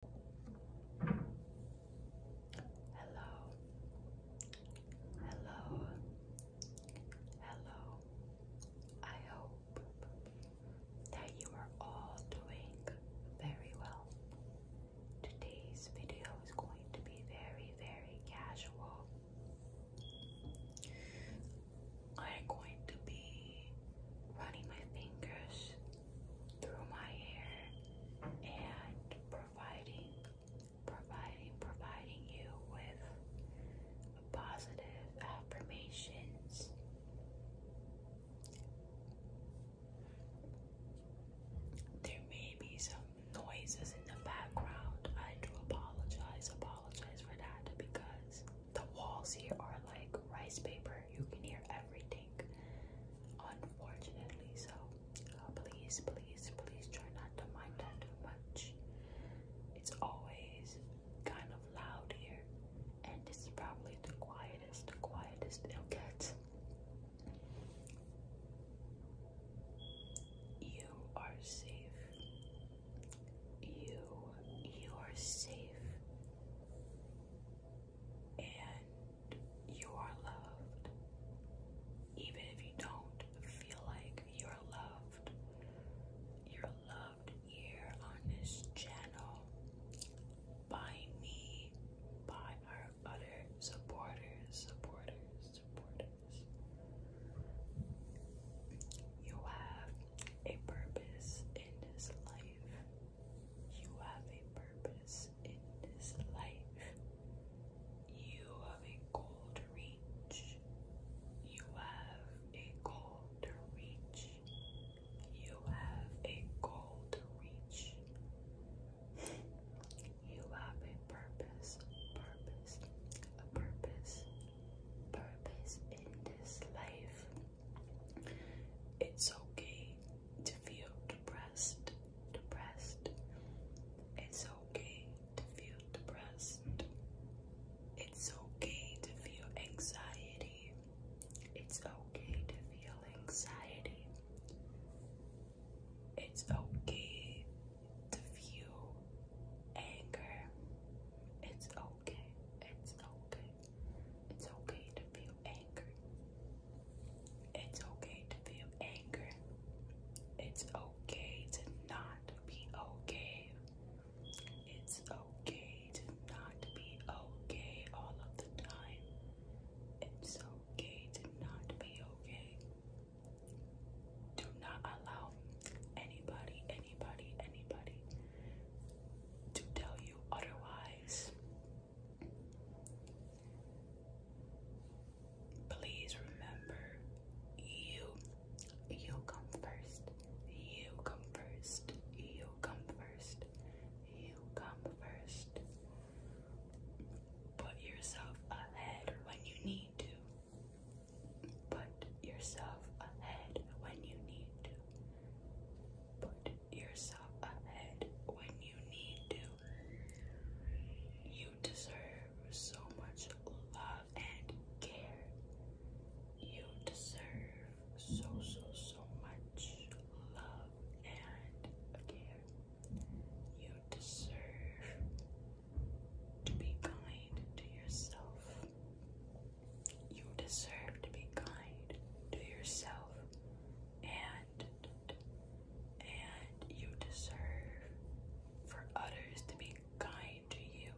Hello. Hello. Hello. I hope that you are all doing very well. Today's video is going to be very, very casual. I'm going to be running my fingers through my hair and providing, providing, providing you with positive affirmations. There may be some noises in the background. I do apologize, apologize for that because the walls here are like rice paper you can hear everything, unfortunately. So uh, please, please, please try not to mind that too much. It's always kind of loud here, and this is probably the quietest, the quietest it'll get. You are safe. You, you are safe and you are loved. Even if you don't feel like you're loved, you're loved here on this channel by me, by our other supporters, supporters, supporters. You have a purpose in this life. You have a purpose in this life. You have a goal to reach. You have a goal to reach. You have a goal to reach. You have a purpose, purpose, a purpose, purpose in this life. It's okay to feel depressed, depressed. It's okay to feel depressed. It's okay to feel anxiety. It's okay to feel anxiety. It's okay to feel anger. It's okay. It's okay. It's okay to feel angry. It's okay to feel angry. It's okay to not be okay. It's okay to not be okay all of the time. It's okay to not be okay. Do not allow anybody, anybody, anybody to tell you otherwise. Please remember you you come first. You come first. You come first. You come first. Put yourself ahead when you need to. Put yourself ahead when you need to put yourself ahead when you need to. You deserve so much love and care. You deserve so, so, so much love and care. You deserve to be kind to yourself. You deserve to be kind to yourself and and you deserve for others to be kind to you.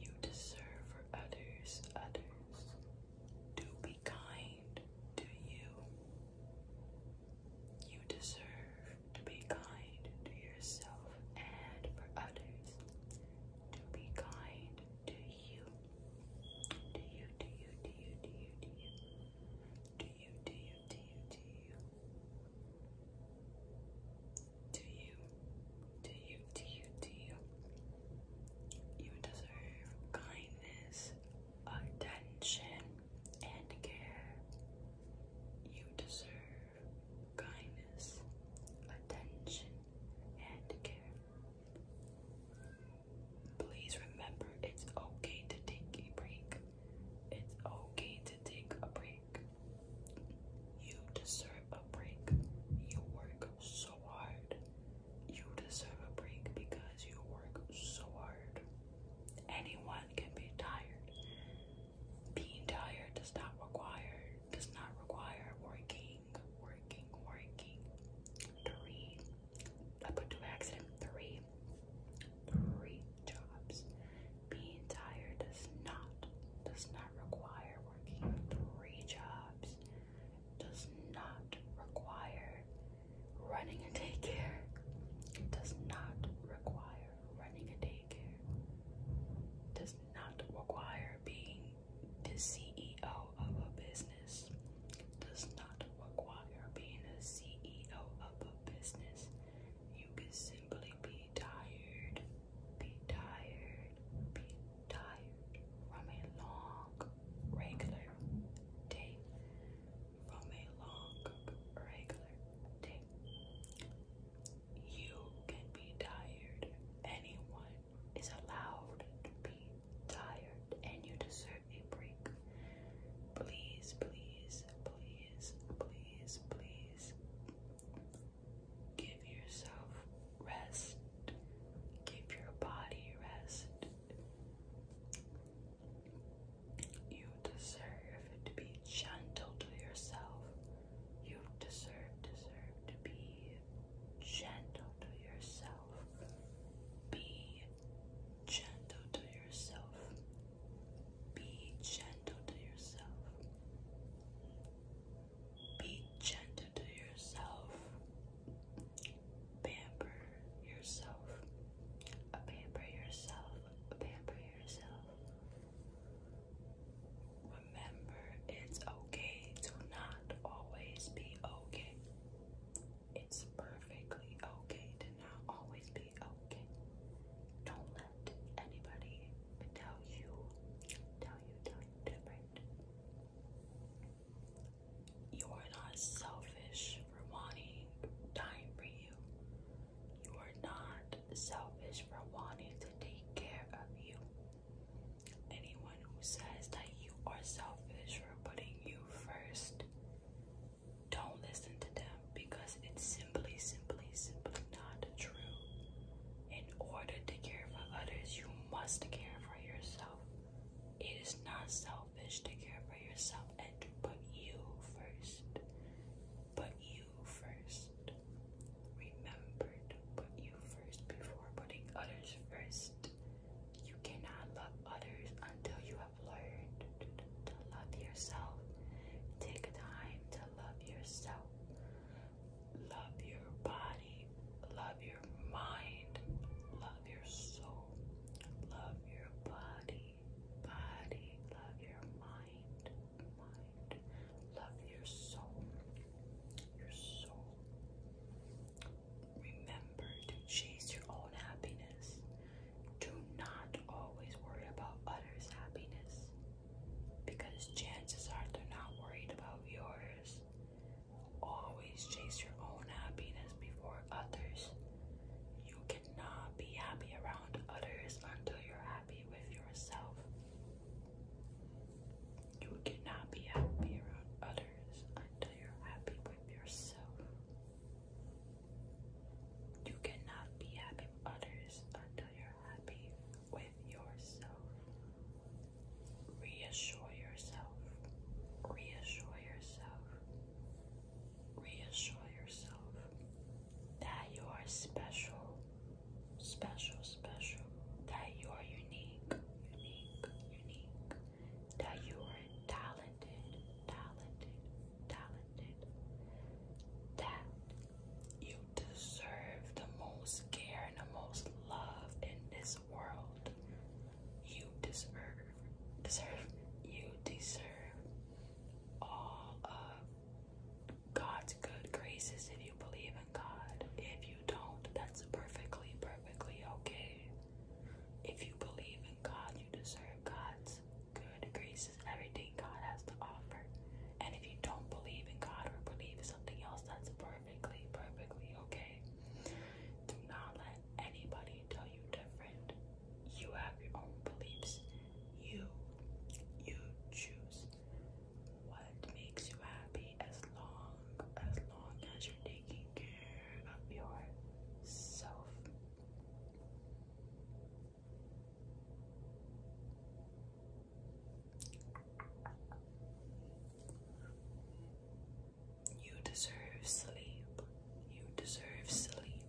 You deserve for others, others to be kind to you. You deserve to be kind to yourself and for others to be kind do you? Do you? Do you? Do you? Do you? Do you? Do you? Do you? Do you? Do you? Do you? Do you? You deserve kindness, attention, and care. You deserve kindness, attention, and care. Please remember it's okay to take a break. It's okay to take a break. You deserve a break. You work so hard. You deserve a break because you work so hard. Anyone can be tired. Being tired does not require does not require working working, working. Three, I put two accident. Three, three jobs. Being tired does not, does not require working three jobs. Does not require running a daycare. Does not require running a daycare. Does not require being the CEO of a business does not require being a CEO of a business. You can simply be tired, be tired, be tired from a long, regular day. From a long, regular day. You can be tired. Anyone is allowed to be tired, and you deserve a break. Please, please, please, please, please give yourself rest. Give your body rest. You deserve to be gentle to yourself. You deserve, deserve to be gentle to yourself. Be gentle to yourself. Be gentle to yourself. Be gentle to yourself. Pamper yourself. Pamper yourself. Pamper yourself. Remember, it's okay to not always be okay. It's perfectly okay to not always be okay. Don't let anybody tell you, tell you, tell you different. You are not selfish for wanting time for you. You are not selfish for wanting to take care of you. Anyone who says that you are selfish for putting you first, don't listen to them because it's simply, simply, simply not true. In order to care for others, you must care for yourself. It is not selfish to care for yourself and to put you first put you first. Remember to you first before putting others first. You cannot love others until you have learned to love yourself. Take time to love yourself. Love your body. Love your mind. Love your soul. Love your body. Body. Love your mind. Love your soul, your soul. Remember to chase your own happiness. Do not always worry about others' happiness because chances are they're not worried about yours. Always chase your own happiness before others. You cannot be happy around others until you're happy with yourself. You cannot be happy around others until you're happy with yourself. You cannot be happy with others until you're happy with yourself. Reassure yourself. Reassure yourself. Reassure yourself that you are special, special, special, that you are unique, unique, unique, that you are talented, talented, talented, that you deserve the most care and the most love in this world. You deserve, deserve, you deserve all of God's good graces if you believe in God. If you don't, that's perfectly, perfectly okay. If you believe in God, you deserve God's good graces, everything God has to offer. And if you don't believe in God or believe in something else, that's perfectly, perfectly okay. Do not let anybody tell you different. You have your own beliefs. You, you choose what makes you happy as long as long as you're taking care of yourself. You deserve sleep. You deserve sleep.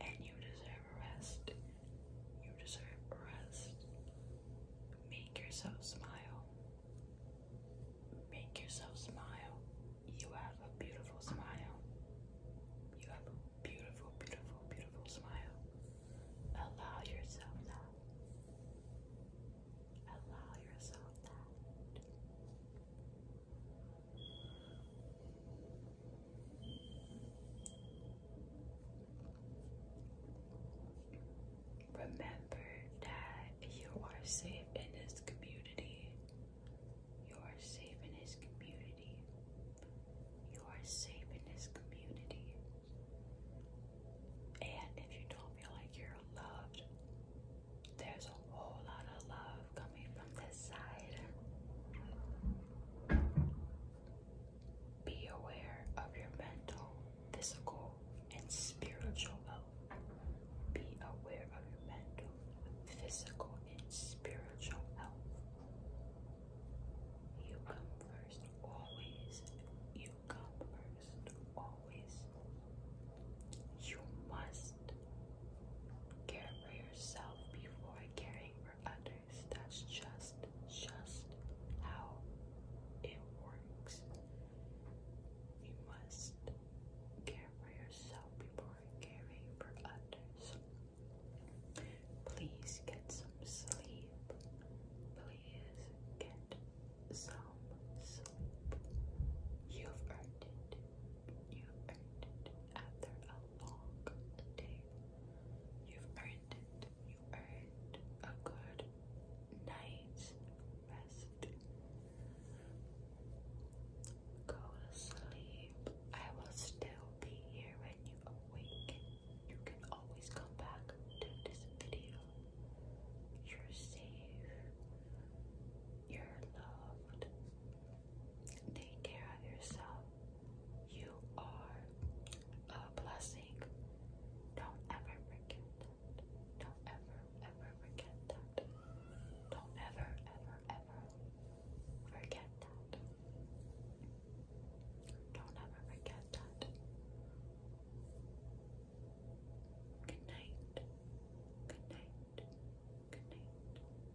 And you deserve rest. You deserve rest. Make yourself smile. Make yourself smile. You have a beautiful smile. You have a beautiful, beautiful, beautiful smile. Allow yourself that. Allow yourself that. Remember that you are safe in this community. You are safe in this community. You are safe in this community. And if you don't feel like you're loved, there's a whole lot of love coming from this side. Be aware of your mental, physical, and spiritual health. Be aware of your mental, physical, and spiritual health. You come first, always. You come first, always. You must care for yourself before caring for others. That's just just how it works. You must care for yourself before caring for others. Please get some sleep. Please get some sleep. You've earned it. You earned it after a long day. You've earned it. You earned a good night's rest. Go to sleep. I will still be here when you wake. You can always come back to this video. You're safe. You're loved. Take care of yourself. You are a blessing. Don't ever forget that. Don't ever, ever forget that. Don't ever, ever, ever forget that. Don't ever forget that. Good night. Good night. Good night.